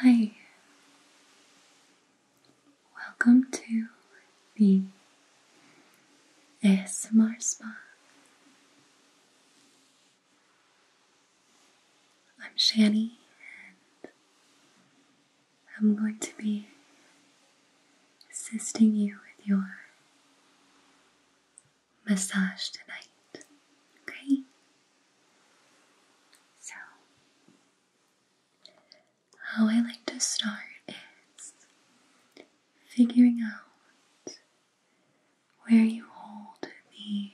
Hi, welcome to the ASMR Spa. I'm Shani, and I'm going to be assisting you with your massage tonight. Okay? So, how I like to start is figuring out where you hold the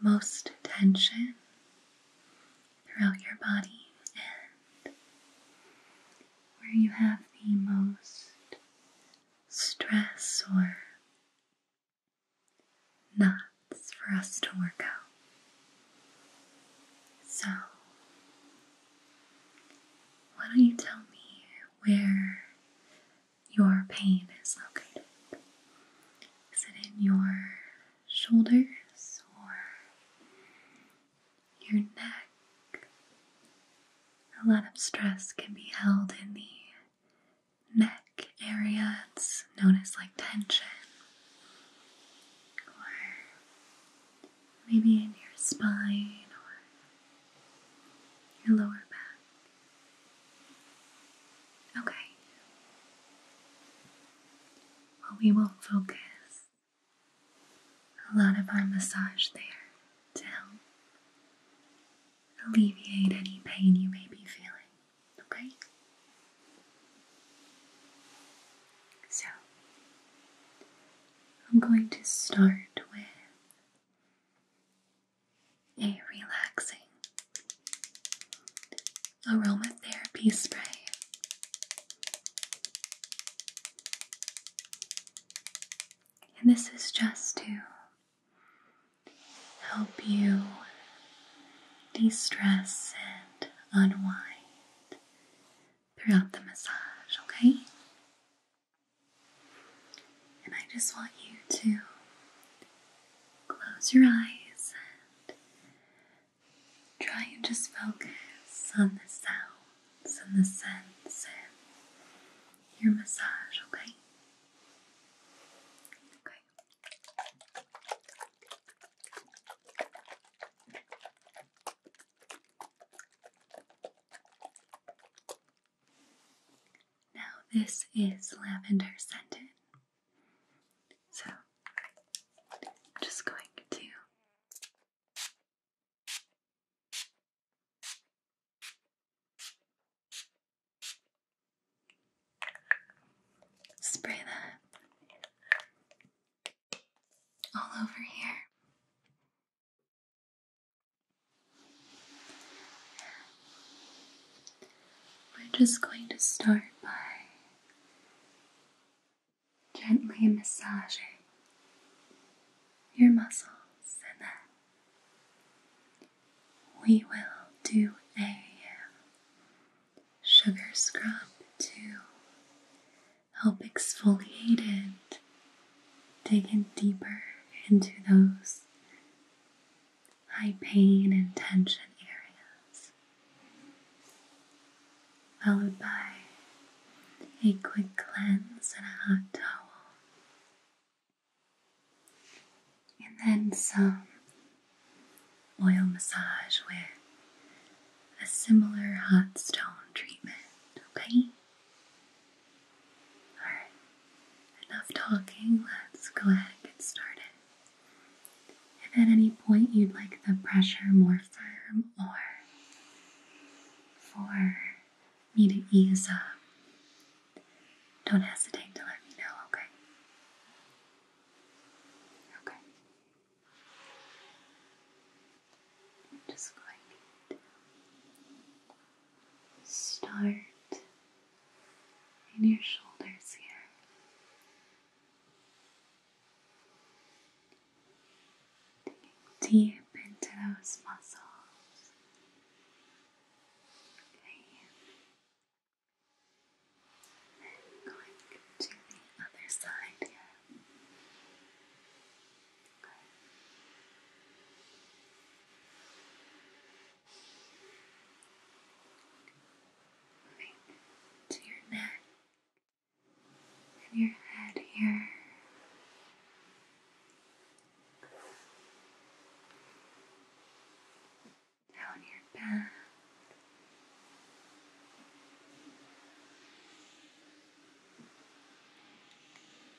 most tension throughout your body and where you have the most stress or knots for us to work out. So, why don't you tell me where your pain is located? Is it in your shoulders or your neck? A lot of stress can be held in the neck area. It's notice like tension, or maybe in your spine or your lower back. Okay. Well, we will focus a lot of our massage there to help alleviate any pain you may be feeling, okay? So, I'm going to start with a relaxing aromatherapy spray. And this is just to help you de stress and unwind throughout the massage, okay? And I just want you to close your eyes and try and just focus on the sounds and the scents and your massage, okay? Now, this is lavender scented. So, I'm just going to Spray that all over here. We're just going to start by gently massaging your muscles and then we will do a uh, sugar scrub to help exfoliate and dig in deeper into those high pain and tension areas, followed by a quick cleanse and a hot towel and then some oil massage with a similar hot stone treatment, okay? Alright, enough talking, let's go ahead and get started. If at any point you'd like the pressure more firm or for me to ease up, don't hesitate to let me know, okay? Okay. just going to start in your shoulders here. deep into those muscles Okay. going to the other side here. Okay. Moving to your neck and your head here down your back.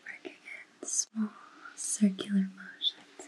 Working in small circular motions.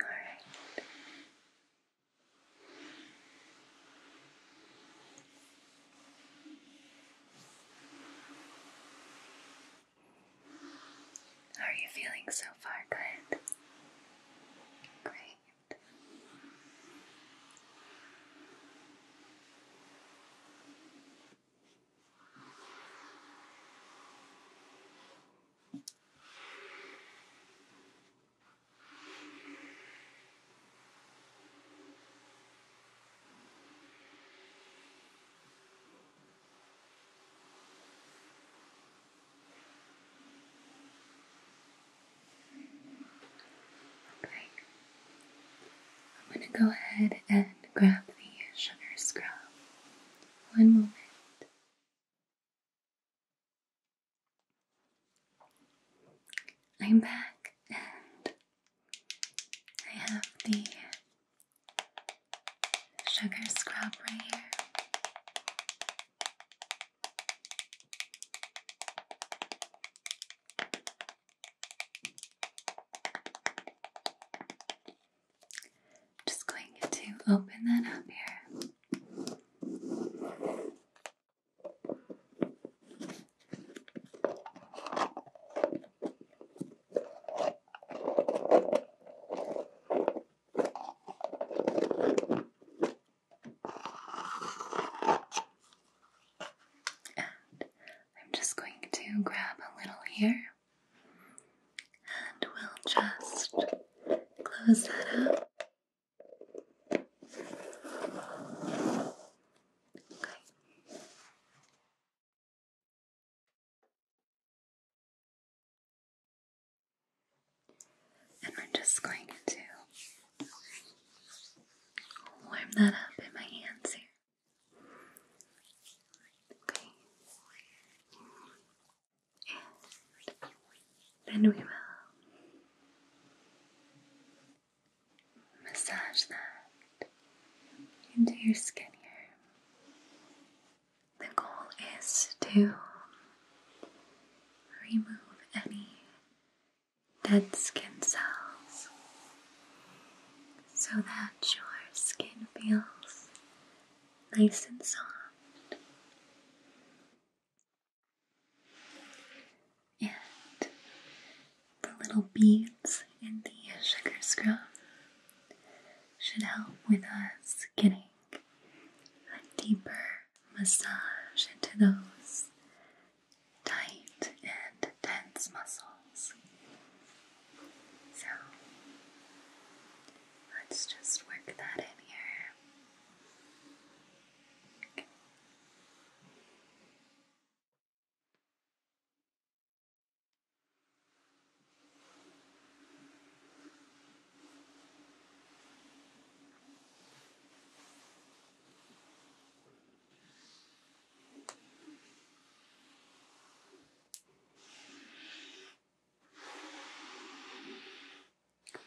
All right. are you feeling so far? Good. Great. Break I'm going to go ahead and grab the sugar scrub. One moment. I'm back and I have the sugar scrub right here. Just going to open that up here. And I'm just going to grab a little here. And we'll just close that up. Okay. And we're just going to warm that up in my hands here. And then we will massage that into your skin here. The goal is to remove any dead skin cells so that your skin feels nice and soft. And the little beads in the sugar scrub should help with us getting a deeper massage into those tight and tense muscles. So let's just work that in here. Okay.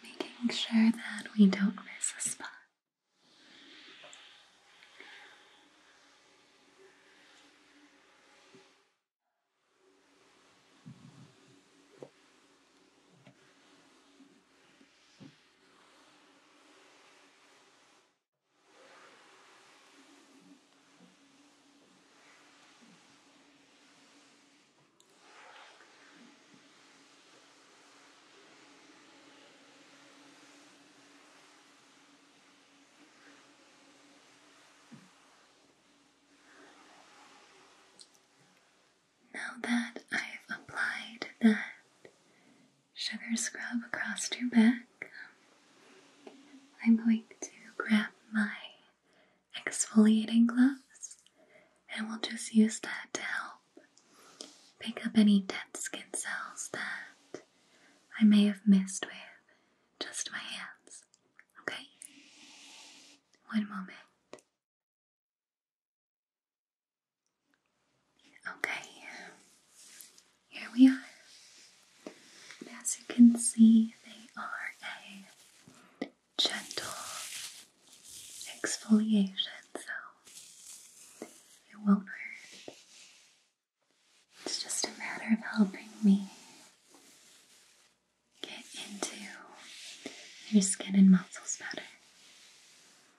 Making sure that we don't miss a spot. Now that I've applied that sugar scrub across your back. I'm going to grab my exfoliating gloves and we'll just use that to help pick up any dead skin cells that I may have missed with just my hands. Okay? One moment. Okay, here we are. as you can see, they are a gentle exfoliation, so it won't hurt. It's just a matter of helping me get into your skin and muscles better.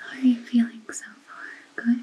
How are you feeling so far? Good? Great.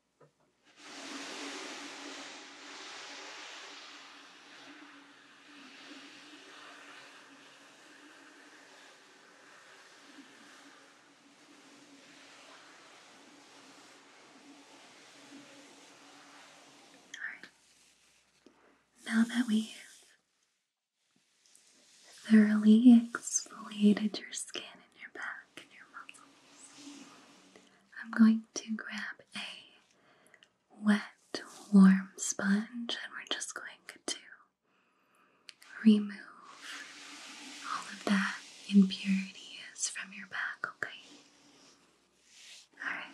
Now that we've thoroughly exfoliated your skin and your back and your muscles, I'm going to grab a wet, warm sponge and we're just going to remove all of that impurities from your back, okay? Alright.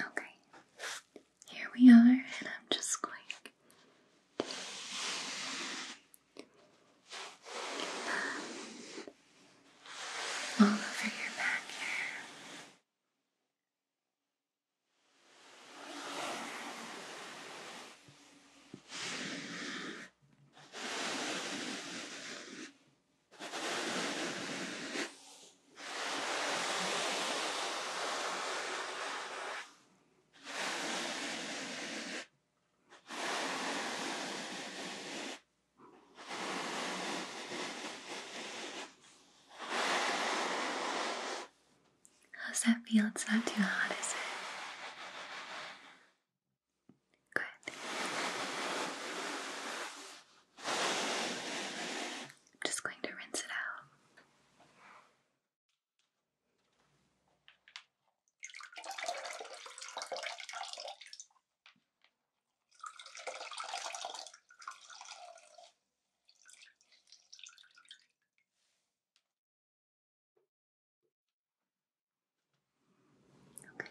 Okay, here we are, and I'm just going all over your back How's that feel? It's not too hot, is it? Good. I'm just going to rinse it out. Okay.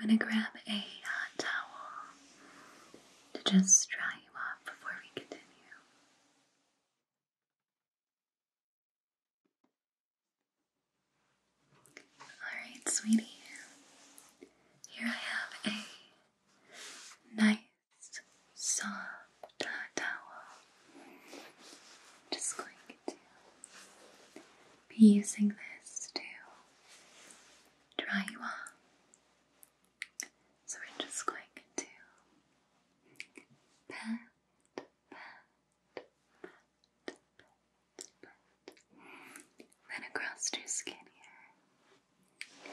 I'm going to grab a hot uh, towel to just dry you off before we continue. Alright, sweetie, here I have a nice soft towel. just going to be using this to dry you off. So we're just going to pat, pat, pat, pat, pat, then across your skin here.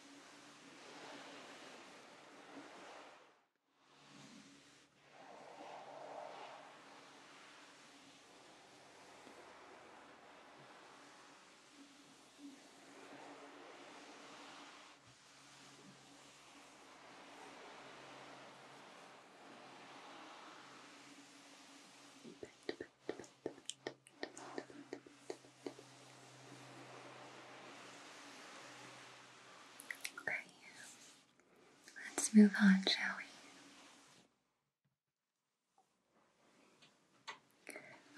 Back to Okay, let's move on, shall we?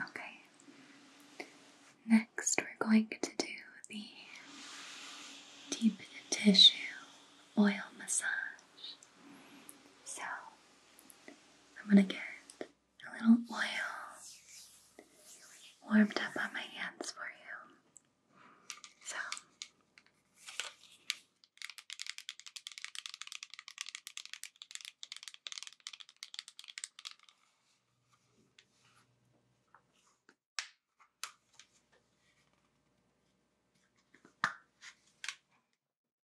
Okay, next we're going to do the deep tissue oil massage. So, I'm gonna get a little oil warmed up on my hands for you. So.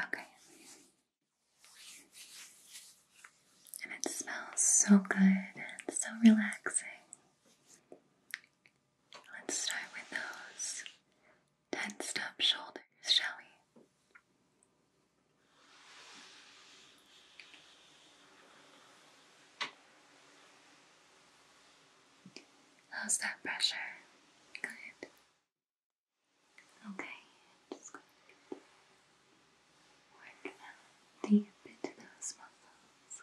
Okay. And it smells so good and so relaxing. Let's start with those tensed up shoulders, shall we? How's that pressure? Good. Okay, i just going to work out the epididymis muscles.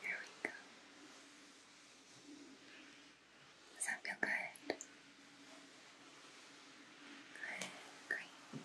Here we go. Does that feel good? great.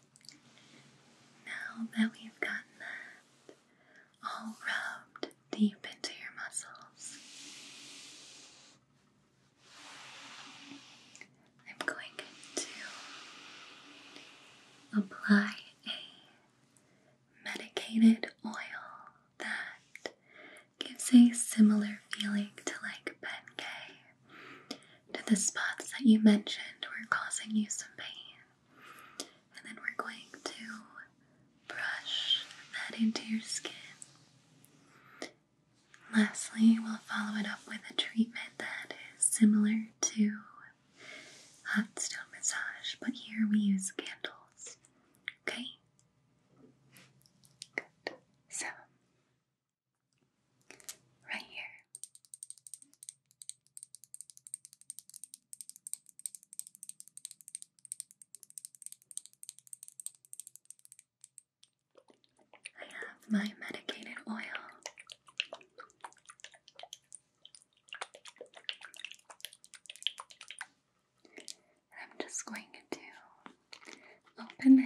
Now that we've gotten that all rubbed deep into your muscles, I'm going to apply a medicated oil that gives a similar feeling to like Bengay to the spots that you mentioned were causing you some pain. And then we're going to brush that into your skin. Lastly, we'll follow it up with a treatment that is similar to hot stone massage, but here we use candles. Okay? Good. So, Right here. I have my medicated oil. I'm just going to open this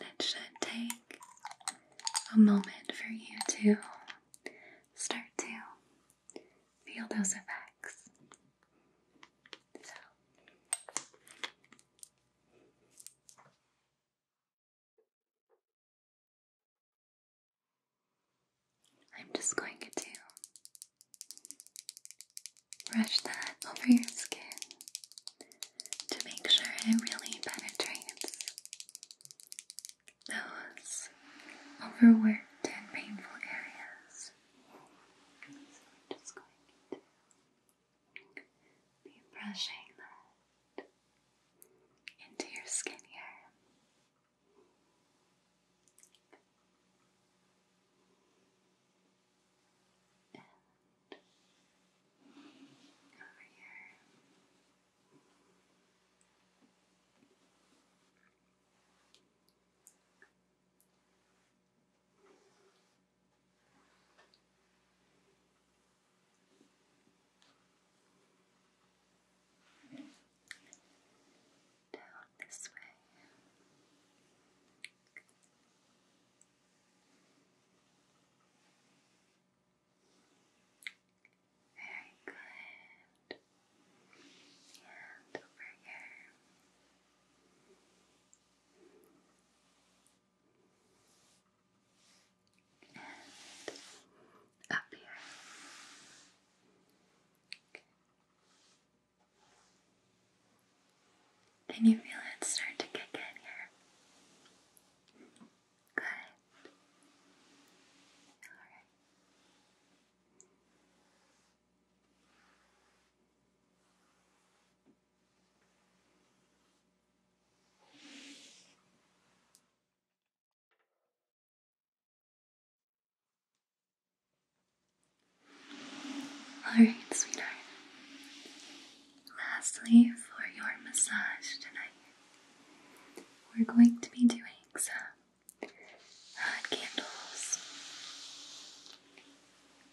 it should take a moment for you to start to feel those effects. So. I'm just going to Brush that over your skin to make sure it really penetrates those overworked and painful areas. just going to be brushing that into your skin here. Over here. Down this way. Very good. And over here. And up here. Okay. Can you feel it start to kick in here? Good. Alright. Alright, sweetheart. Lastly, for your massage tonight, we're going to be doing some hot uh, candles.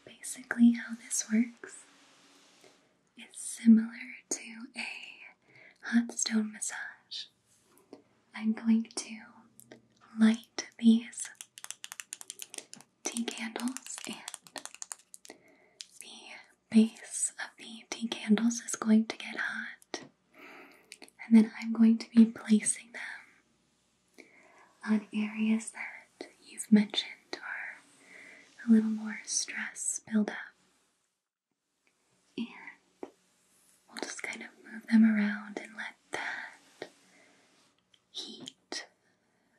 Basically, how this works is similar to a hot stone massage. I'm going to light these tea candles and the base of the tea candles is going to get hot and then I'm going to be placing them on areas that you've mentioned are a little more stress buildup. And we'll just kind of move them around and let that heat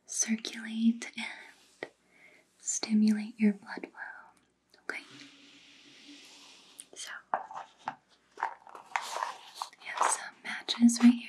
circulate and stimulate your blood flow. Okay? So, we have some matches right here.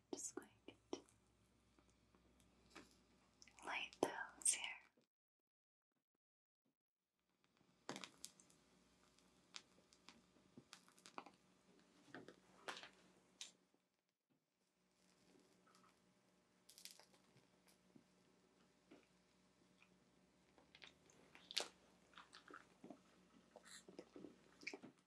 I'm just going to light those here.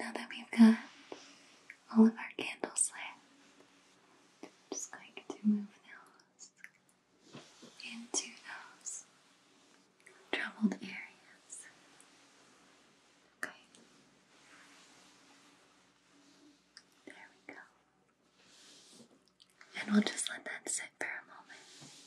Now that we've got all of our candles lit, I'm just going to move those into those troubled areas. Okay. There we go. And we'll just let that sit for a moment.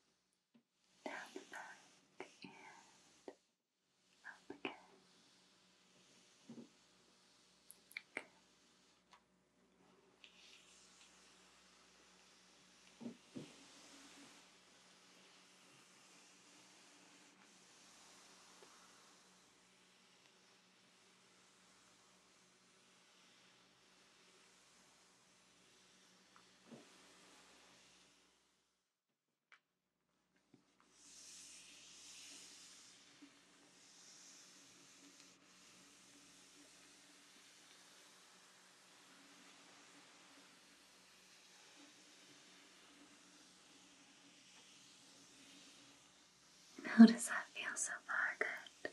down the back and up again. How does that feel so far? Good.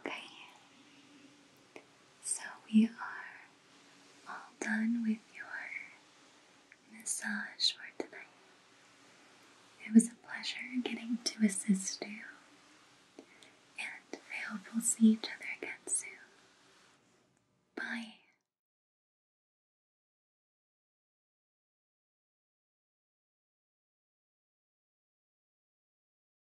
Okay, so we are all done with your massage for tonight. It was a pleasure getting to assist you, and I hope we'll see each other again soon. Bye.